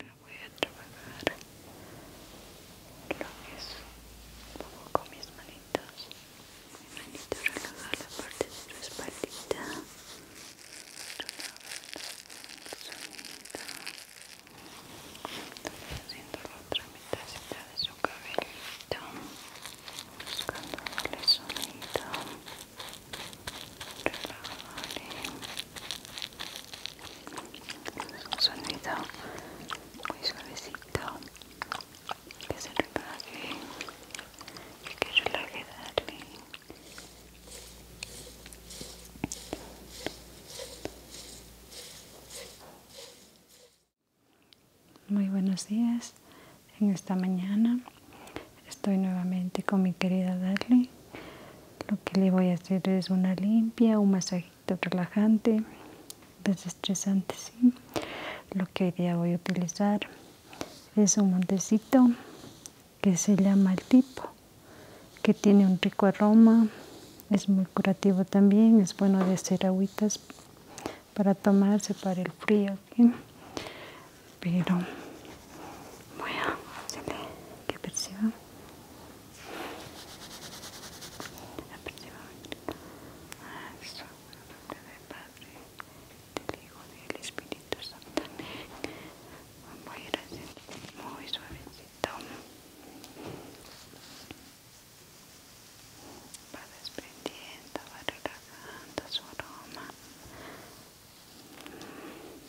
Ahora voy a trabajar lo que es un poco con mis manitos. Mi manito relaja la parte de tu espaldita. Estoy haciendo la otra mitadcita de su cabellito. Buscando el sonido. Relajale un sonido muy suavecito que se relaje y que relaje Darwin muy buenos días en esta mañana estoy nuevamente con mi querida Darly. Lo que le voy a hacer es una limpia, un masajito relajante, desestresante, ¿sí? Lo que hoy día voy a utilizar es un montecito que se llama el tipo, que tiene un rico aroma, es muy curativo también, es bueno de hacer agüitas para tomarse para el frío, Pero voy a hacerle que perciba apreciaba Padre, del del Espíritu Santo. Voy a ir haciendo muy suavecito su aroma.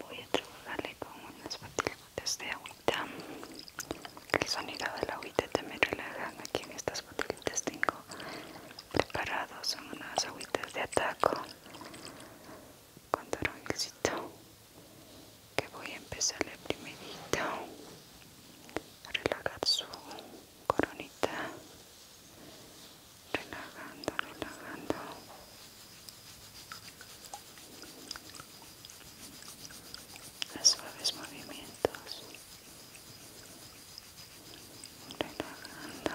Voy a trabajarle con unas patilitas de agüita. El sonido de la agüita también relajan. Aquí en estas patilitas tengo preparados son unas agüitas de ataco con exito que voy a empezarle primerito a relajar su coronita relajando relajando a suaves movimientos relajando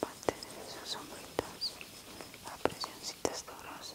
parte de sus hombritos a presioncitas duras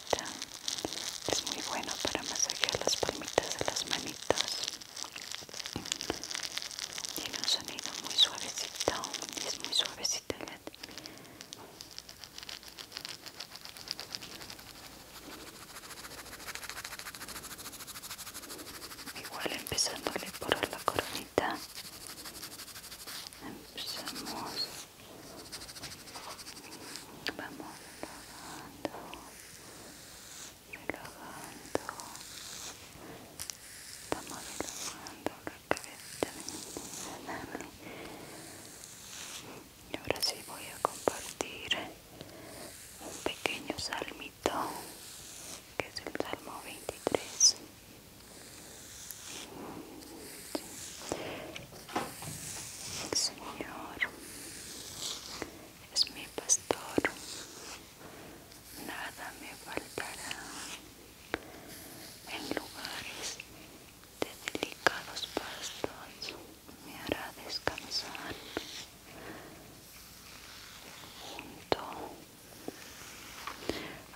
es muy bueno para masajear las palmitas de las manitas tiene un sonido muy suavecito y es muy suavecito igual empezándole por la coronita empezamos Vamos relajando, relajando. Estamos relajando la cabeza de mi Y ahora sí voy a compartir un pequeño salmito que es el salmo 23. Señor es mi pastor, nada me faltará. En lugares de delicados pastos me hará descansar. Junto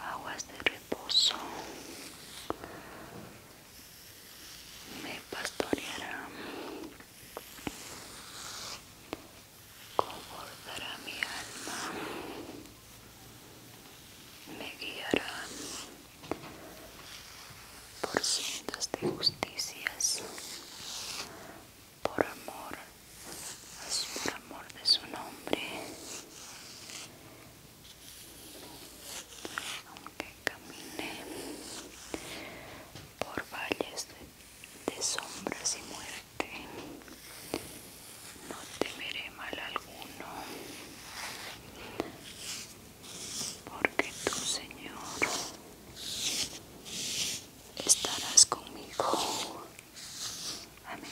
aguas de reposo me pastoreará, confortará mi alma, me guiará por sendas de justicias, por amor, por amor de su nombre aunque camine por valles de, sombras y muerte, no temeré mal alguno, porque tú, Señor, estarás conmigo. Amén.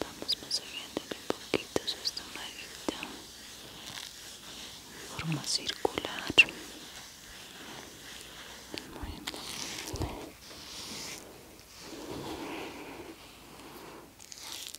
Vamos masajeándole un poquito su estomaguito forma circular.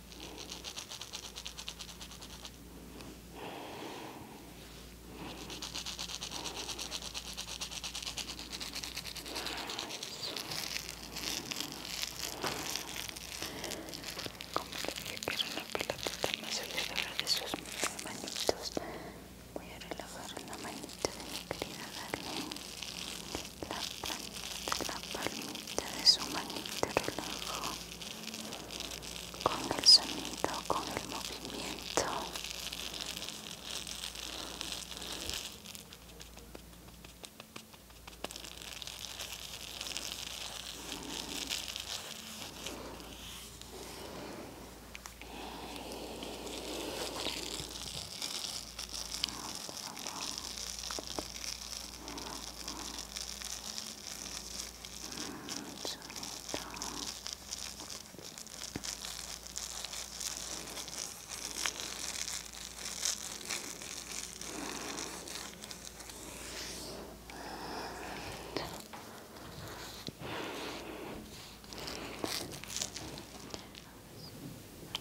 Como dije que era una pelotita más alrededor de sus manitos, voy a relajar la manita de mi querida Darlene. La palita palmita de su manita relajo con el sonido, con el movimiento.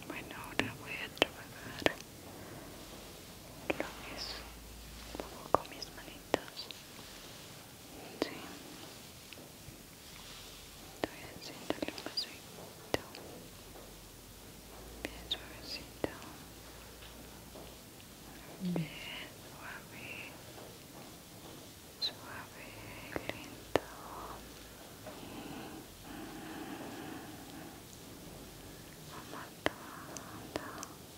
Bueno, ahora voy a trabajar lo que es con mis manitas sí. estoy el un pasito bien suavecito bien suave suave lento Amatando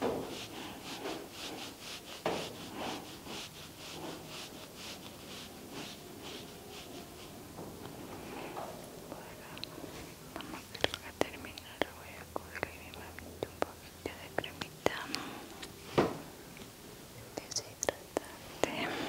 Vamos a terminar, voy a coger y me meto un poquito de cremita deshidratante. Le encanta.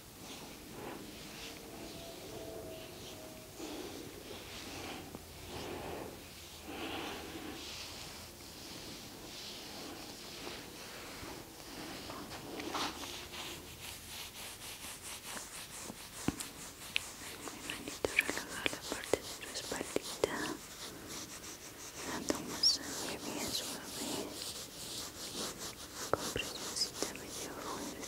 manito relaja la parte de tu espalda dando masaje bien suave con presioncita medio fuerte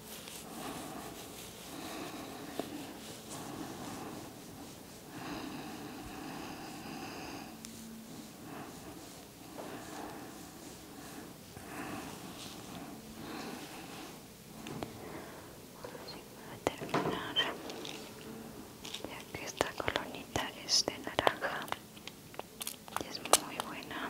Y terminar, ya que esta colonita es de naranja y es muy buena.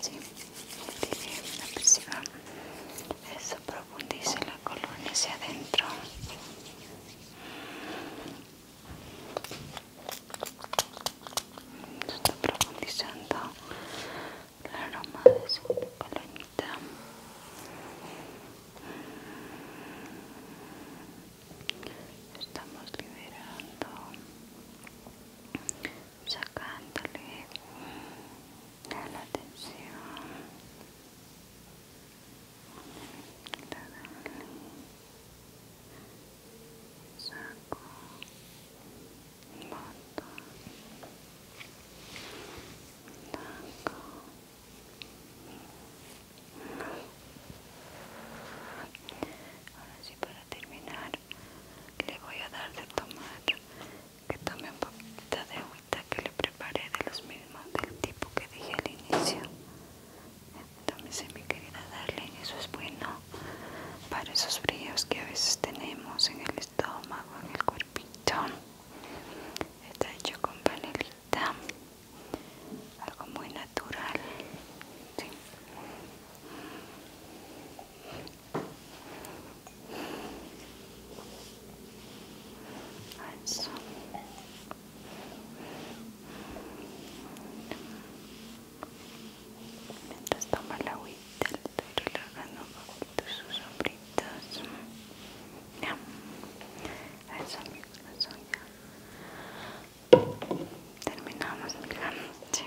¿sí? tiene una presión eso profundice la colonia hacia adentro está profundizando el aroma de su colonita estamos liberando sacándole la atención Sacó. saco boto taco ahora sí para terminar le voy a dar de tomar que tome un poquito de agüita que le preparé de los mismos del tipo que dije al inicio Tómese mi querida darle eso es bueno para esos fríos que a veces tenemos en el estómago en el cuerpito está hecho con panelita algo muy natural eso Mientras toma la agüita, le estoy relajando un poquito sus hombritos. Ya. Eso, ya. Terminamos, la noche